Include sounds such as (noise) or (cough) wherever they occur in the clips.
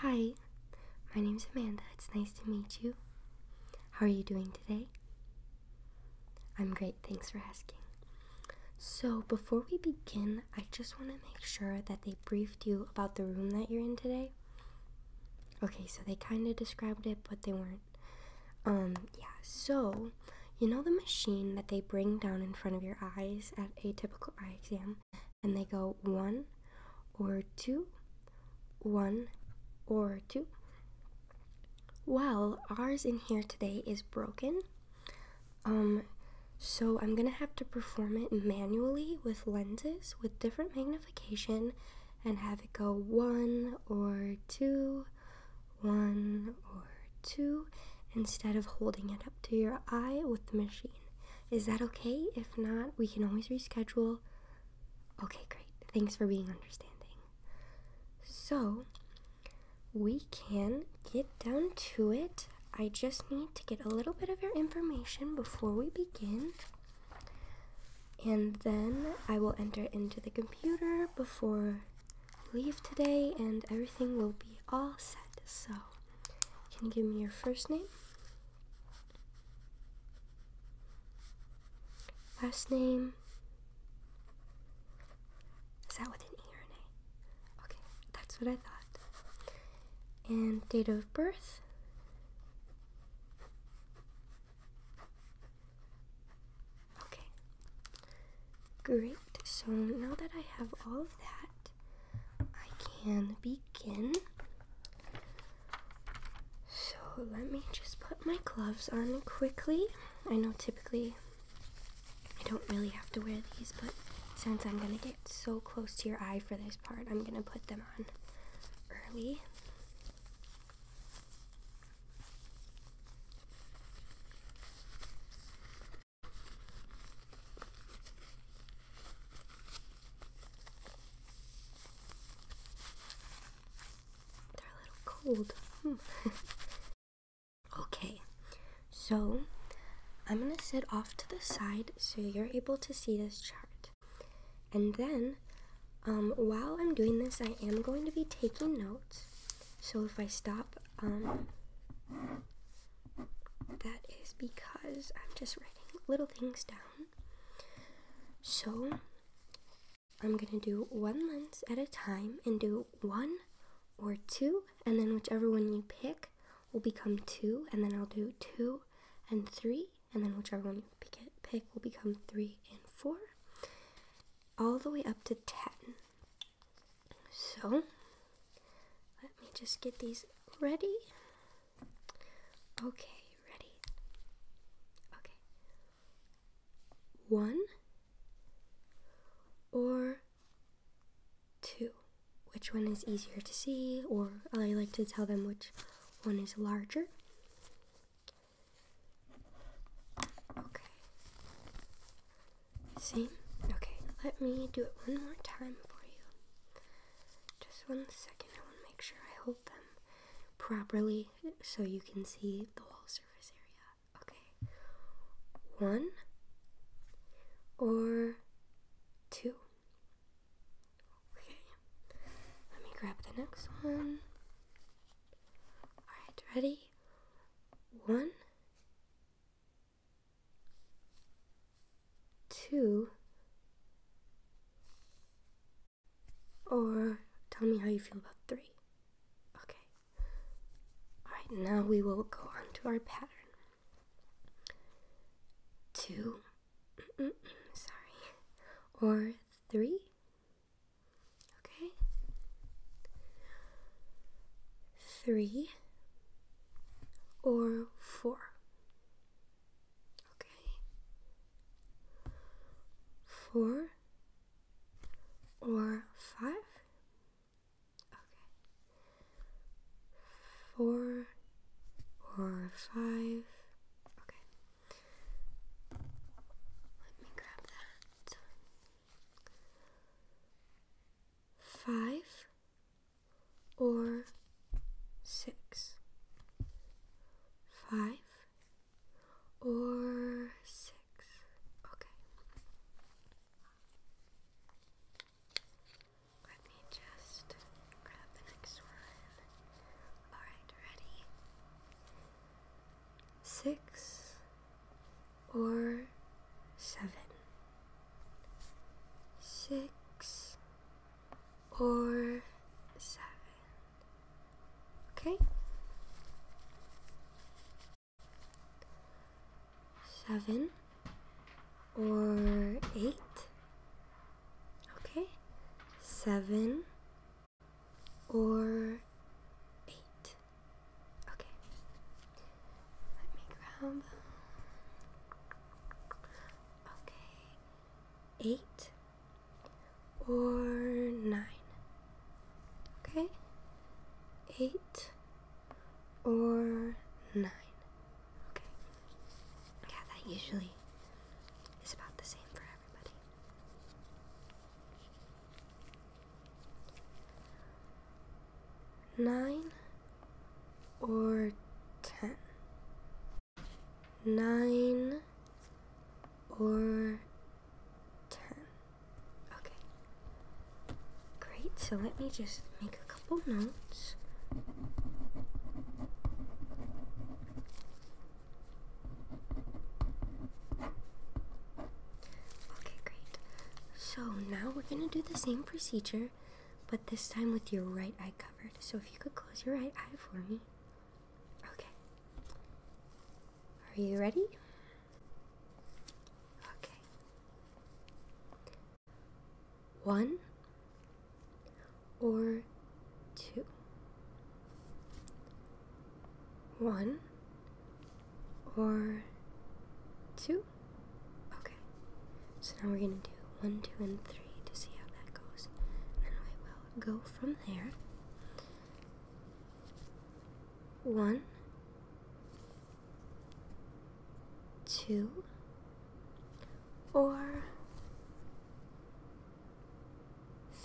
Hi, my name's Amanda. It's nice to meet you. How are you doing today? I'm great, thanks for asking. So, before we begin, I just want to make sure that they briefed you about the room that you're in today. Okay, so they kind of described it, but they weren't. Um, yeah, so you know the machine that they bring down in front of your eyes at a typical eye exam? and they go one or two, one or two. Well, ours in here today is broken. Um, so I'm gonna have to perform it manually with lenses with different magnification and have it go one or two, one or two, instead of holding it up to your eye with the machine. Is that okay? If not, we can always reschedule. Okay, great. Thanks for being understanding. So, we can get down to it. I just need to get a little bit of your information before we begin. And then I will enter into the computer before leave today, and everything will be all set. So, can you give me your first name? Last name? Is that with an E or an A? Okay, that's what I thought. And date of birth? Okay. Great. So now that I have all of that, I can begin. So let me just put my gloves on quickly. I know typically I don't really have to wear these, but since I'm gonna get so close to your eye for this part, I'm gonna put them on early. They're a little cold. Hmm. (laughs) okay, so I'm gonna sit off to the side so you're able to see this chart. And then, um, while I'm doing this, I am going to be taking notes. So if I stop, um, that is because I'm just writing little things down. So I'm gonna do one lens at a time and do one or two, and then whichever one you pick will become two, and then I'll do two and three, and then whichever one you pick, will become three and four, all the way up to ten. So, let me just get these ready. Okay, ready. Okay. One or two. Which one is easier to see, or I like to tell them which one is larger. Okay. Same? Okay, let me do it one more time for you. Just one second, I want to make sure I hold them properly so you can see the whole surface area. Okay, one or two. Okay, let me grab the next one. Alright, ready? One, two. Or tell me how you feel about three. Okay. Alright, now we will go on to our pattern. Two. sorry. Or three. Okay. Three or four. Okay. Four or five. Okay. Four or five. Okay. Let me grab that. Five or six? Five or six? Okay. Let me just grab the next one. Alright, ready? Six or seven? six or seven. Okay? Seven or eight. Okay? Seven or eight. Okay. Let me grab Okay. Eight or nine. Okay. Eight or nine. Okay. Yeah, that usually is about the same for everybody. Nine or ten, nine or ten. Okay, great. So let me just make a couple notes. Okay, great. So now we're going to do the same procedure but this time with your right eye covered. So if you could close your right eye for me. Okay. Are you ready? Okay. One or two. One or two. Okay. So now we're going to do one, two, and three to see how that goes. And we will go from there. One, two, four,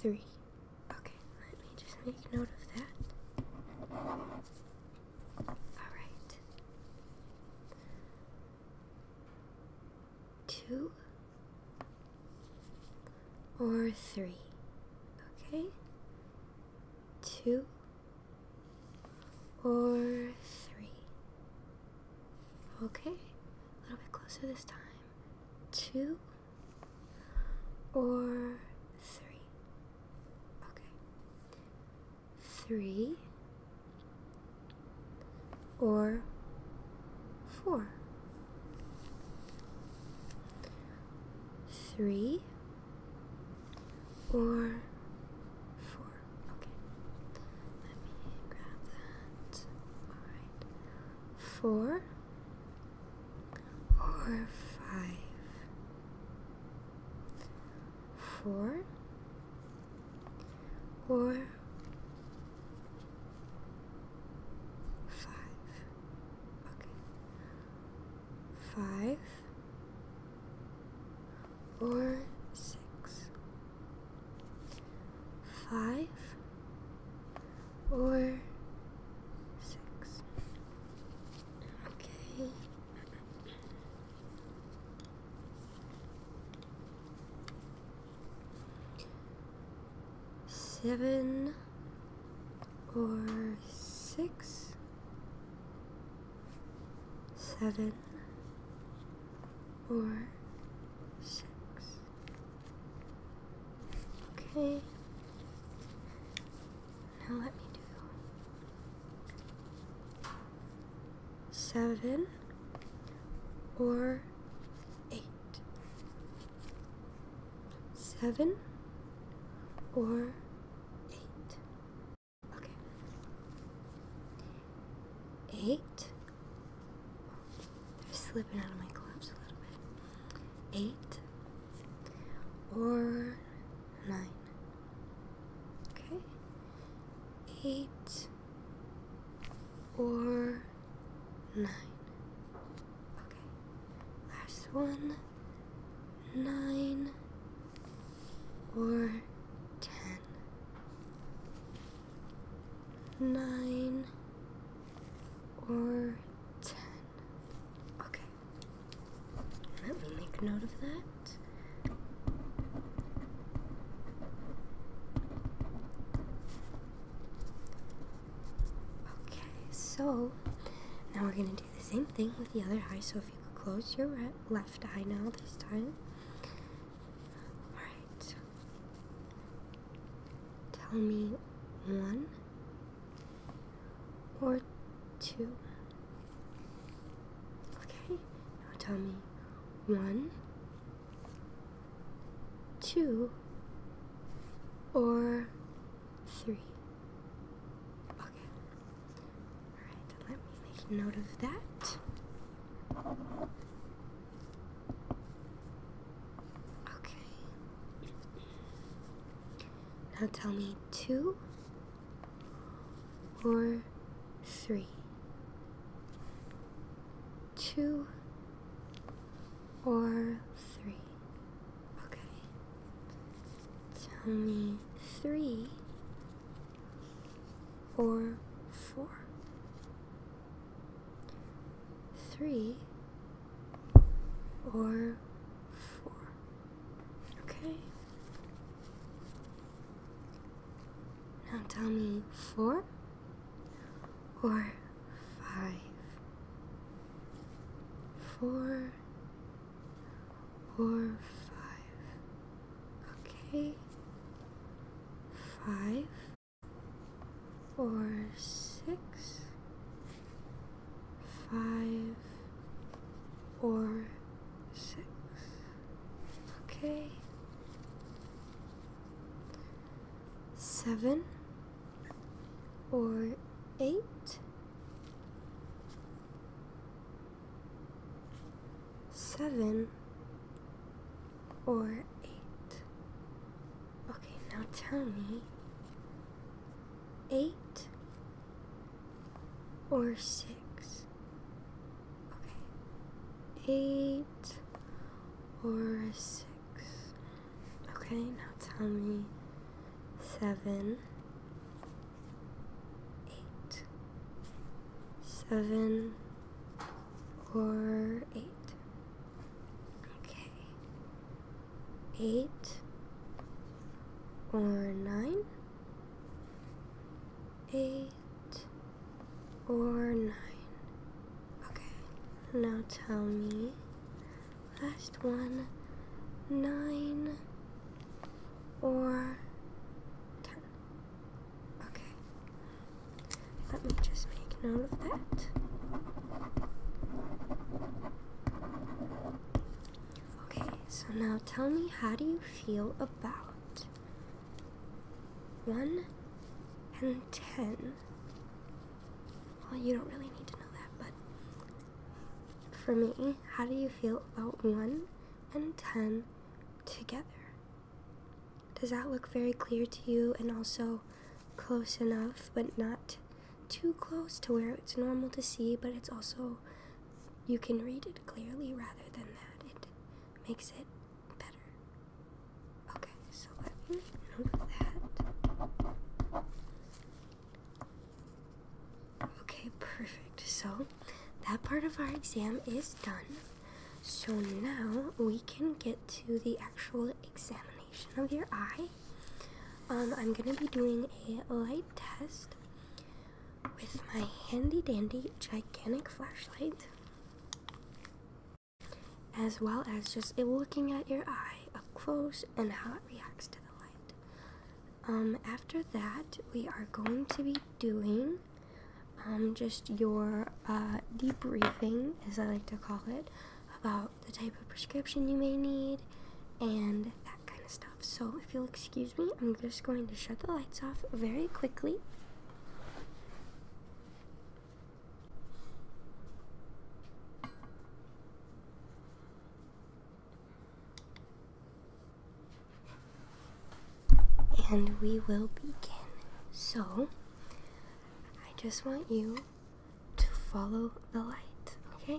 three. Okay, let me just make note of that. Alright. Two or three. Okay. Two or three. Okay. A little bit closer this time. Two or three. Okay three, or four. Three or four. Okay. Let me grab that. Alright. Four or five. Four Four, five. Okay, five or Okay seven or six, seven or six. Okay, now let me do seven, or eight. Seven or eight. Okay. Eight. They're slipping out of my gloves a little bit. Eight or nine. Okay. Eight or nine. Okay. Last one. Nine or ten. Nine or ten. Okay. Let me make note of that. Okay, so now we're going to do the same thing with the other eye. So if you could close your left eye now this time. Alright. Tell me one or two. Okay, now tell me one, two, or three. Okay. Alright, let me make note of that. Okay. Now tell me two, or three, two or three. Okay, tell me three four, or four. Okay. Now tell me four or five. Four or five. Okay. Five or six. Five or six. Okay. Seven or eight? Seven or eight? Okay, now tell me. Eight or six? Okay. Eight or six. Okay, now tell me seven, eight, seven or eight. Okay, eight or nine, eight or nine. Okay, now tell me. Last one, nine or ten. Okay, let me just make note of that. Okay, so now tell me how do you feel about 1 and 10. Well, you don't really need to know that, but for me, how do you feel about 1 and 10 together? Does that look very clear to you and also close enough, but not too close to where it's normal to see, but it's also you can read it? clearly rather than that it makes it better. Okay, so let me note that. Okay, perfect. So that part of our exam is done. So now we can get to the actual examination of your eye. Um, I'm going to be doing a light test with my handy dandy gigantic flashlight, as well as just looking at your eye up close and how it reacts to the light. Um, after that, we are going to be doing um, just your uh, debriefing, as I like to call it, about the type of prescription you may need and that kind of stuff. So if you'll excuse me, I'm just going to shut the lights off very quickly. And we will begin. So, I just want you to follow the light, okay?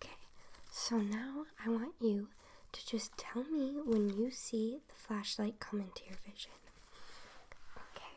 Okay, so now I want you to just tell me when you see the flashlight come into your vision. Okay,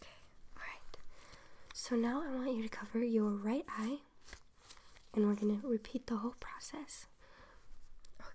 Okay, alright. So now I want you to cover your right eye and we're going to repeat the whole process. Okay.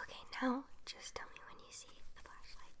Okay, now just tell me when you see the flashlight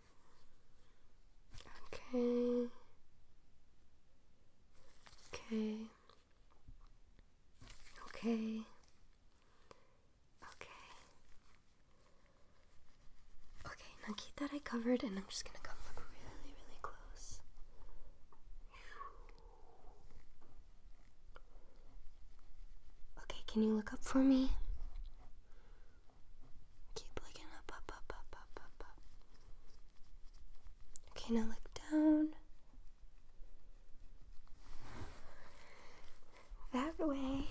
Okay. Okay. Okay. Okay. Okay, now keep that I covered and I'm just gonna come look really, really close. Okay, can you look up for me? Keep looking up, up, up, up, up, up, up. Okay, now look down. That way.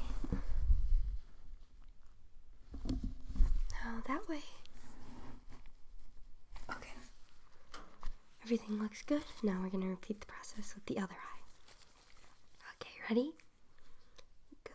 No, that way. Okay. Everything looks good. Now we're going to repeat the process with the other eye. Okay, ready? Go. Good.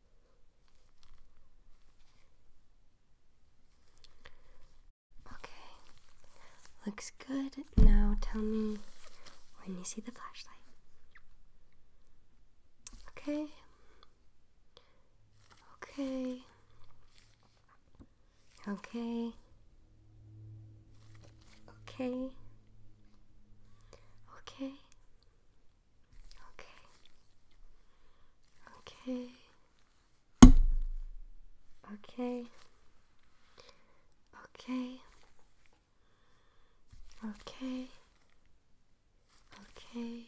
Okay, looks good. Now tell me when you see the flashlight. Okay, okay, okay, okay, okay, Okay. Okay. Okay. Okay. Okay. Okay.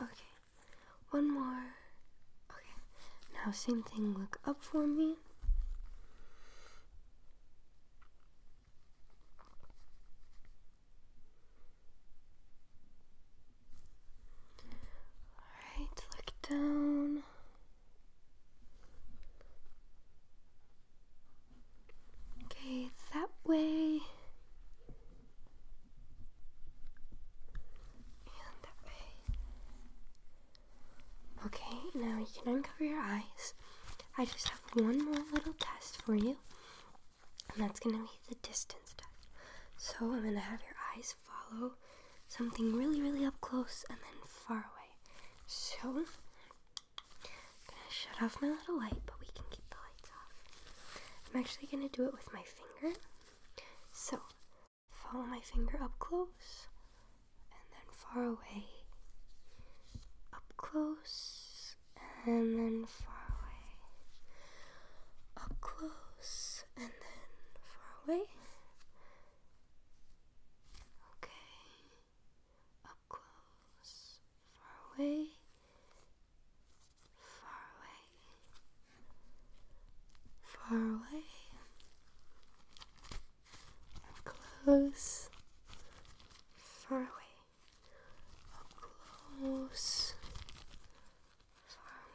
Okay. One more. Okay. Now same thing. Look up for me. Alright, look down. Okay, that way. And that way. Okay, now you can uncover your eyes. I just one more little test for you, and that's going to be the distance test. So I'm going to have your eyes follow something really, really up close and then far away. So I'm going to shut off my little light, but we can keep the lights off. I'm actually going to do it with my finger. So follow my finger up close and then far away up close and then far away. Up close and then far away. Okay. Up close, far away. Far away. Far away. Up close. Far away up close,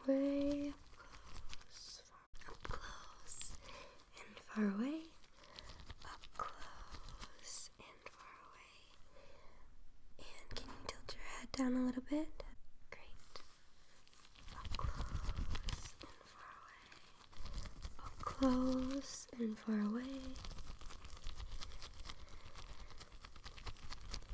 far away, up close, and far away, up close, and far away. And can you tilt your head down a little bit? Great. Up close and far away. Up close and far away.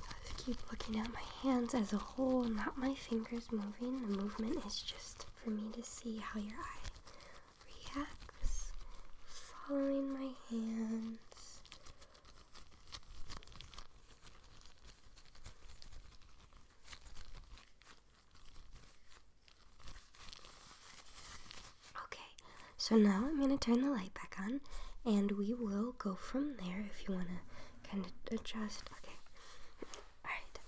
I just keep looking at my hands as a whole, not my fingers moving. The movement is just for me to see how your eye reacts. Following my hands. Okay, so now I'm going to turn the light back on and we will go from there if you want to kind of adjust. Okay. All right.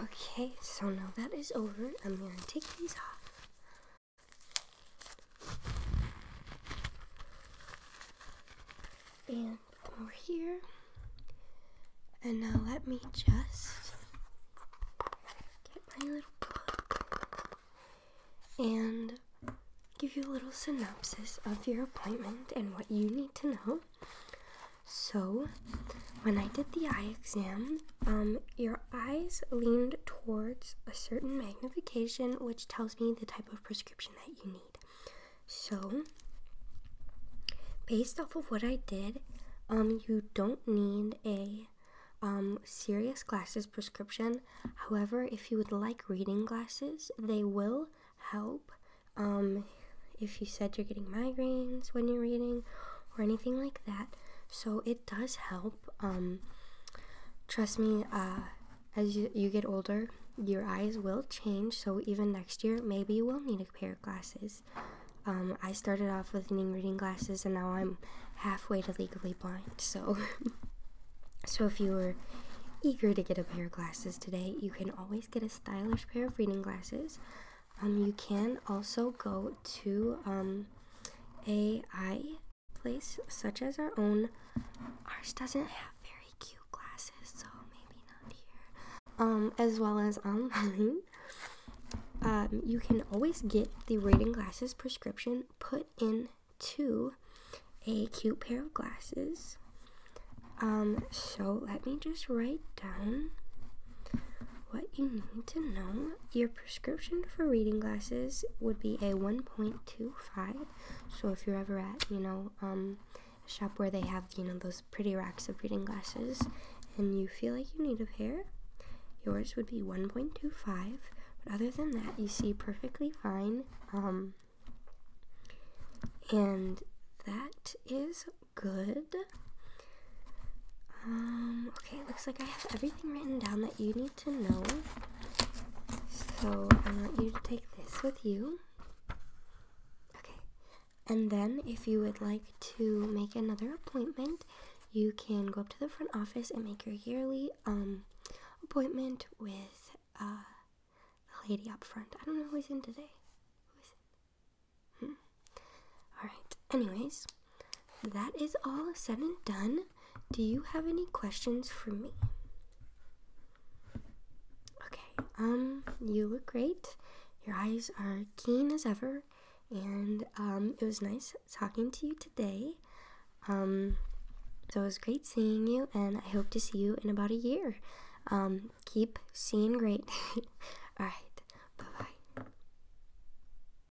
Okay, so now that is over, I'm going to take these off. And we're here. And now let me just get my little book and give you a little synopsis of your appointment and what you need to know. So, when I did the eye exam, um, your eyes leaned towards a certain magnification, which tells me the type of prescription that you need. So, based off of what I did, um, you don't need a um, serious glasses prescription. However, if you would like reading glasses, they will help. Um, if you said you're getting migraines when you're reading or anything like that, so it does help. Um, trust me, uh, as you, get older, your eyes will change. So even next year, maybe you will need a pair of glasses. Um, I started off with needing reading glasses, and now I'm halfway to legally blind. So, (laughs) so if you are eager to get a pair of glasses today, you can always get a stylish pair of reading glasses. Um, you can also go to AI place such as our own. Ours doesn't have very cute glasses, so maybe not here. Um, as well as online. Um, you can always get the reading glasses prescription put into a cute pair of glasses. Um, so let me just write down what you need to know. Your prescription for reading glasses would be a 1.25. So if you're ever at, you know, um, shop where they have, you know, those pretty racks of reading glasses and you feel like you need a pair, yours would be 1.25. But other than that, you see perfectly fine. Um, and that is good. Um, okay, looks like I have everything written down that you need to know. So I want you to take this with you. Okay. And then if you would like to make another appointment, you can go up to the front office and make your yearly um, appointment with a uh, lady up front. I don't know who's in today. Hmm. All right. Anyways that is all said and done. Do you have any questions for me? Okay, um, you look great. Your eyes are keen as ever, and um, it was nice talking to you today. Um, so it was great seeing you, and I hope to see you in about a year. Um, keep seeing great. (laughs) All right, bye bye.